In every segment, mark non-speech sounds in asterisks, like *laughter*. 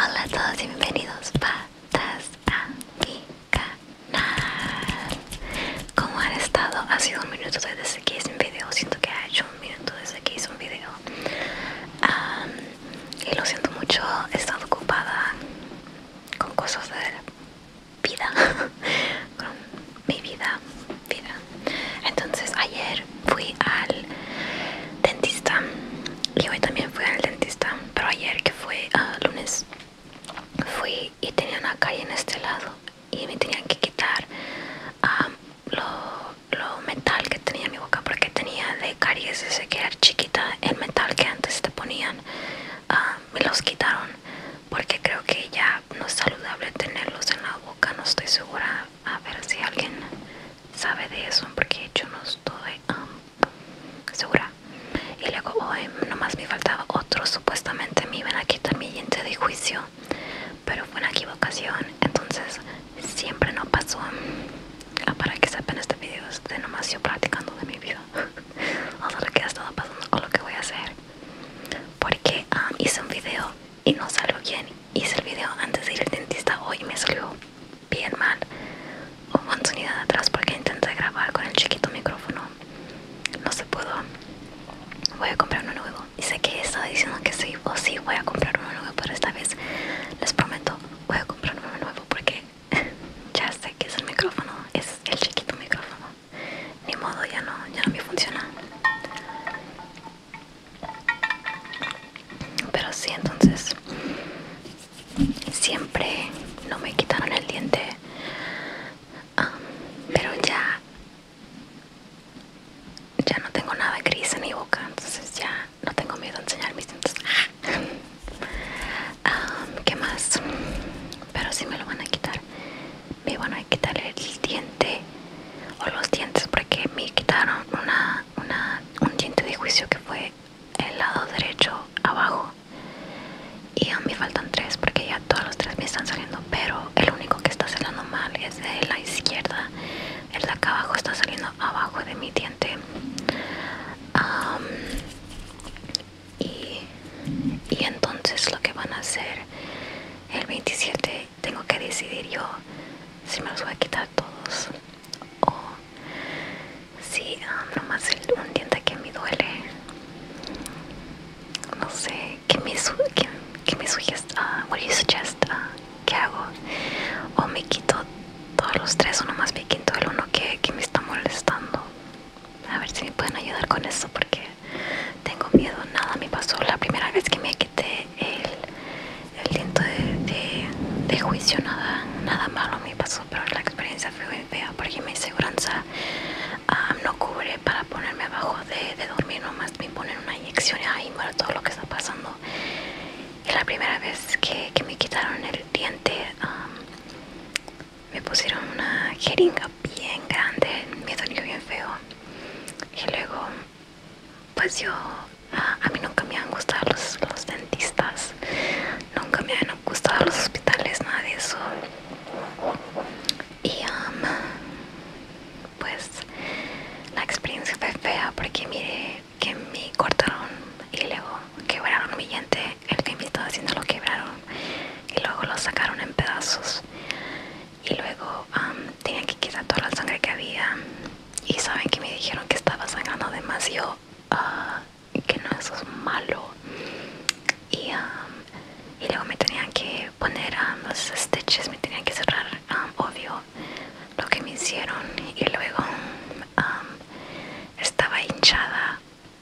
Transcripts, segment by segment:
Hola a todos y bienvenidos patas a mi canal ¿Cómo han estado? Ha sido un minuto desde que hice un video Siento que ha hecho un minuto desde que hice un video Y lo siento mucho, he estado ocupada con cosas de vida, *laughs* con mi vida, vida. Entonces ayer fui al dentista y hoy también fui al dentista, pero ayer que fue ah, lunes fui y tenía una calle en este lado y me tenían que quitar ah, lo, lo metal que tenía en mi boca porque tenía de caries y que era chiquita el metal que antes te ponía Ah, me los quitaron porque creo que ya no es saludable tenerlos en la boca no estoy segura a ver si alguien sabe de eso porque yo no estoy segura y luego hoy nomás me faltaba otro supuestamente me iban a quitar mi diente de juicio pero fue una equivocación entonces siempre no pasó Ah, para que sepan este video es de nomás yo practicando de mi vida *laughs* o lo que ha estado pasando o lo que voy a hacer porque ah, hice un video y no salió bien hice el video antes de ir al dentista hoy me salió bien mal un sonido de atrás porque intenté grabar con el chiquito micrófono no se pudo voy a comprar uno nuevo y sé que estaba diciendo que sí o sí voy a comprar uno nuevo pero esta vez les prometo voy a comprar uno nuevo porque *laughs* ya sé que es el micrófono, es el chiquito micrófono. Ni modo, ya no, ya no me funciona. Pero sí, entonces siempre no me quitaron el diente. Ah, pero ya ya no tengo nada gris en mi boca, entonces ya no tengo miedo a enseñar mis dientes *laughs* ¿Qué más? Pero si me lo van a quitar Me van a quitar el diente O los dientes Porque me quitaron una, un diente de juicio Que fue el lado derecho abajo Y a mí faltan tres Porque ya todos los tres me están saliendo Pero el único que está saliendo mal Es de la izquierda El de acá abajo está saliendo abajo de mi diente y, entonces lo que van a hacer el 27 tengo que decidir yo si me los voy a quitar todos o si ah, nomás el, un diente que me duele no sé qué me, sugiere, que, me suggest, uh, ah, what do ah, ¿qué hago? O me quito todos los tres uno más me quito el uno que, me está molestando. A ver si me pueden ayudar con eso porque tengo miedo. Nada me pasó la primera vez que me quité el, el de, juicio. Nada, nada malo me pasó, pero la experiencia fue muy fea porque mi inseguranza ah, no cubre para ponerme abajo de, de dormir. Nomás me ponen una inyección y ahí muero todo lo que está pasando y la primera vez que, me quitaron el diente um, me pusieron una jeringa bien grande me dolió bien feo y luego pues yo a, mí nunca me han gustado los, los dentistas nunca me han gustado los hospitales nada de eso y um, pues la experiencia fue fea porque mire que me cortaron y luego quebraron mi diente, el que me estaba haciendo lo quebraron y luego lo sacaron en pedazos y luego tenían tenía que quitar toda la sangre que había y saben que me dijeron que estaba sangrando demasiado y ah, que no eso es malo y, luego me tenían que poner los stitches me tenían que cerrar obvio lo que me hicieron y luego estaba hinchada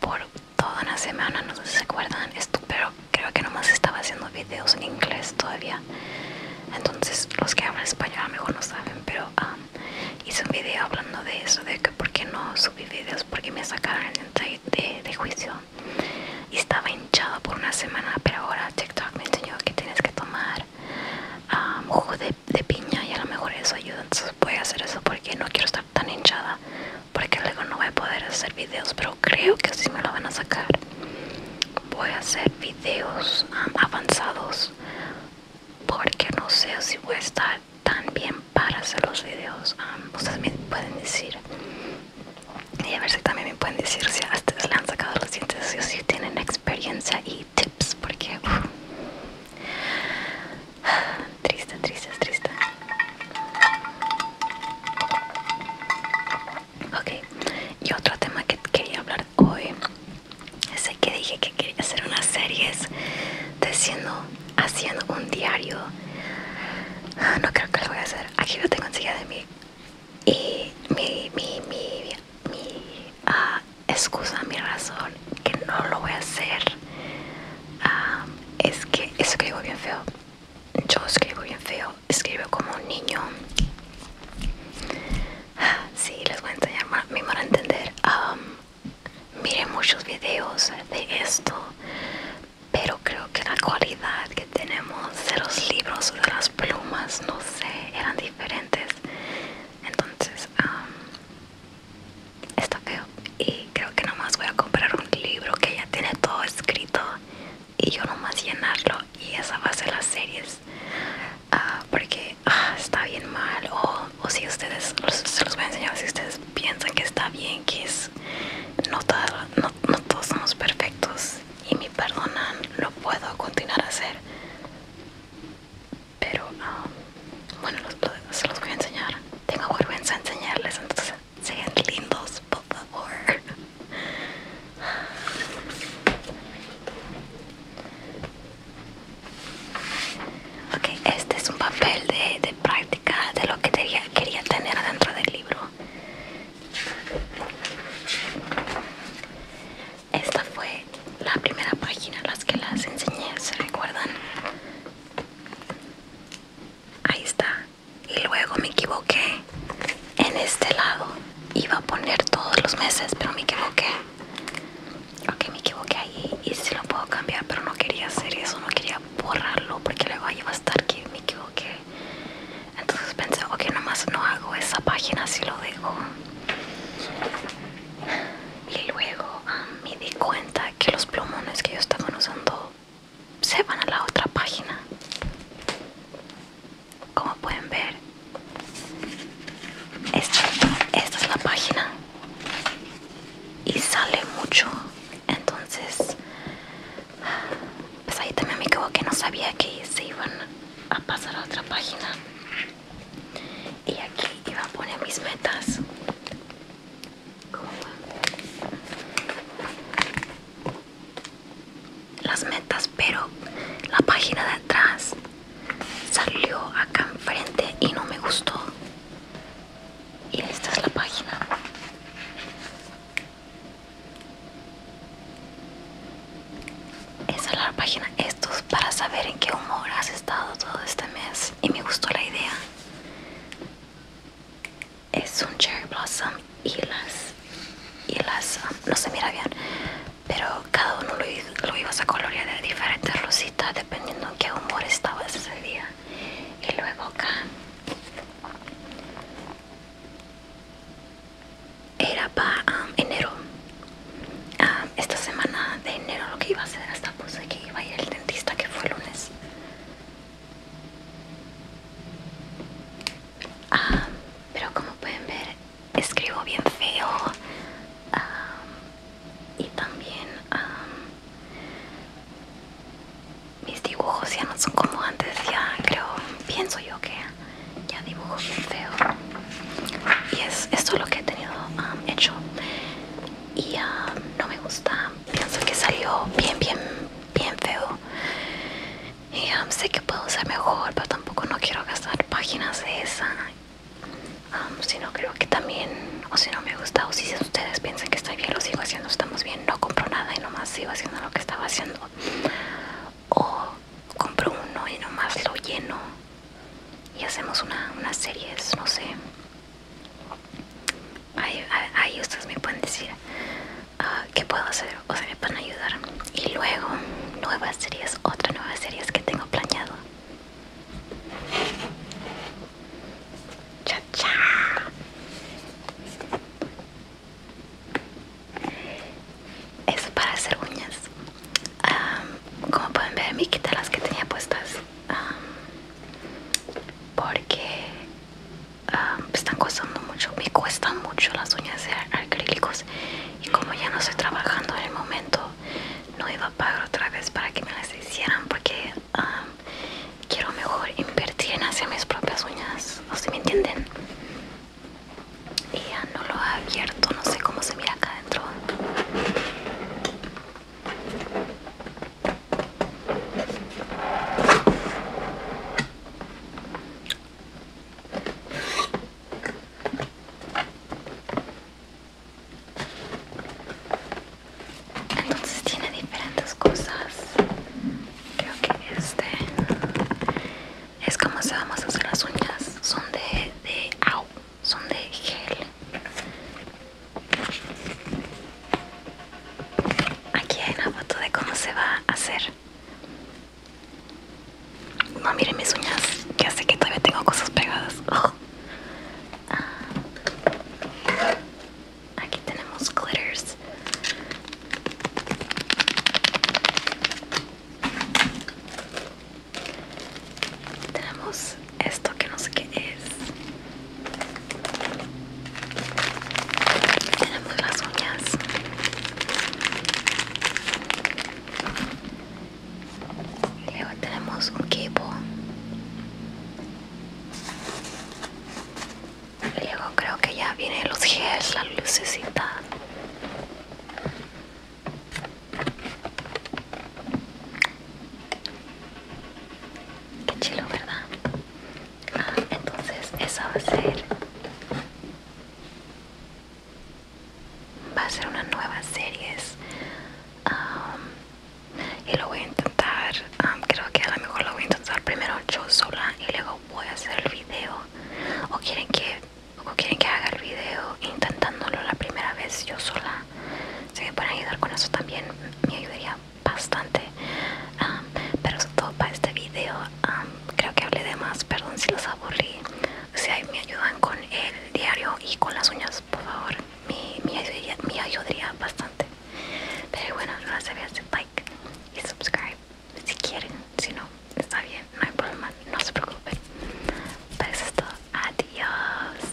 por toda una semana, no sé si se acuerdan, esto, pero creo que nomás estaba haciendo videos en inglés todavía. Entonces los que hablan español a lo mejor no saben, pero hice un video hablando de eso, de que por qué no subí videos, porque me sacaron el de, de juicio. Y estaba hinchada por una semana, pero ahora TikTok me enseñó que tienes que tomar jugo de, piña y a lo mejor eso ayuda entonces voy a hacer eso porque no quiero estar tan hinchada porque luego no voy a poder hacer videos pero creo que si me lo van a sacar voy a hacer videos avanzados porque no sé si voy a estar tan bien para hacer los videos ustedes me pueden decir y a ver si también me pueden decir si hasta ustedes le han sacado los si tienen experiencia y tips porque triste triste triste ok y otro tema que quería hablar hoy es el que dije que quería hacer unas series de haciendo un diario ah, no creo que lo voy a hacer aquí lo tengo enseguida de mí y mi, mi, mi mi ah, excusa, mi razón que no lo voy a hacer ah, es que escribo bien feo. Yo escribo bien feo, escribo como un niño. Ah, sí, les voy a enseñar, me van a entender. Um, miré muchos videos de esto, pero creo que la cualidad tenemos de los libros o de las plumas, no sé, eran diferentes. Entonces, está feo. Y creo que nomás voy a comprar un libro que ya tiene todo escrito y yo nomás llenarlo. Y esa va a ser las series. Ah, porque ah, está bien mal. O, si ustedes, se los voy a enseñar, si ustedes piensan que está bien, que es. no todos somos perfectos y me perdonan, lo puedo continuar a hacer. Pero, um, bueno, se los voy a enseñar. Tengo vergüenza enseñarles, entonces sean lindos, por favor. *laughs* Ok, este es un papel de, de práctica de lo que quería, quería tener adentro del libro. Esta fue la primera página, las que las enseñé, ¿se recuerdan? Ahí está. Y luego me equivoqué en este lado. Iba a poner todos los meses, pero me equivoqué. Ok, me equivoqué ahí y si lo puedo cambiar, pero no quería hacer eso, no quería borrarlo porque luego ahí va a estar que me equivoqué entonces pensé ok nomás no hago esa página si lo dejo y luego me di cuenta que los plumones que yo estaba usando se van a la otra página como pueden ver esta es la página y sale mucho entonces pues ahí también me equivoqué, no sabía que se iban a pasar a otra página. Y aquí iba a poner mis metas. Las metas, pero la página de atrás salió acá enfrente y no me gustó. Y esta es la página. Esa es la página Estos para saber en qué humor has estado todo este mes. Y me gustó la idea. Es un cherry blossom y las. Y las um, no se mira bien. Pero cada uno lo, lo ibas a colorear de diferentes rositas dependiendo en qué humor estaba ese día. Y luego acá era para um, enero um, esta semana de enero lo que iba a hacer hasta puse que iba a ir el dentista que fue el lunes um, pero como pueden ver escribo bien feo y también mis dibujos ya no son como antes, ya creo, pienso yo que ya dibujo bien feo. Y es esto lo que he tenido um, hecho. Y um, no me gusta, pienso que salió bien, bien, bien feo. Y um, sé que puedo ser mejor, pero tampoco no quiero gastar páginas de esa. si no creo que también, o si no me gusta, o si ustedes piensan que está bien, lo sigo haciendo, estamos bien no compro nada y nomás iba haciendo lo que estaba haciendo o compro uno y nomás lo lleno y hacemos una, unas series, no sé ahí, ustedes me pueden decir ah, qué puedo hacer, o sea me pueden ayudar y luego nuevas series, otra nuevas series que tengo planeado es para hacer uñas. como pueden ver, me quité las que tenía puestas. porque están costando mucho. Me cuestan mucho las uñas de acrílicos. Y como ya no estoy trabajando en el momento, no iba a pagar otra vez para que me las hicieran. Porque quiero mejor invertir en hacia mis propias uñas, no se si me entienden. Y ya no lo ha abierto, no sé cómo se mira acá adentro entonces tiene diferentes cosas creo que este es como se vamos a hacer las uñas son de, de au son de gel aquí hay una foto de cómo se va a hacer no miren mis uñas ya sé que todavía tengo cosas pegadas oh. ah. Aquí tenemos glitters. Tenemos esto que no sé qué es. Tenemos las uñas. Luego tenemos un cable luego creo que ya viene los gels, la lucecita. Qué chulo ¿verdad? Ah, entonces esa va a ser. Va a ser una nueva serie. Um, y lo voy a intentar creo que a lo mejor lo voy a intentar primero yo sola y luego voy a hacer el video o quieren que quieren que haga el video intentándolo la primera vez yo sola si me pueden ayudar con eso también me ayudaría bastante pero eso todo para este video creo que hablé de más perdón si los aburrí si me ayudan con el diario y con las uñas por favor me, me, ayudaría, bastante. Pero bueno, no se olviden like y subscribe si quieren. Si no, está bien, no hay problema, no se preocupen. Pero eso es todo. Adiós.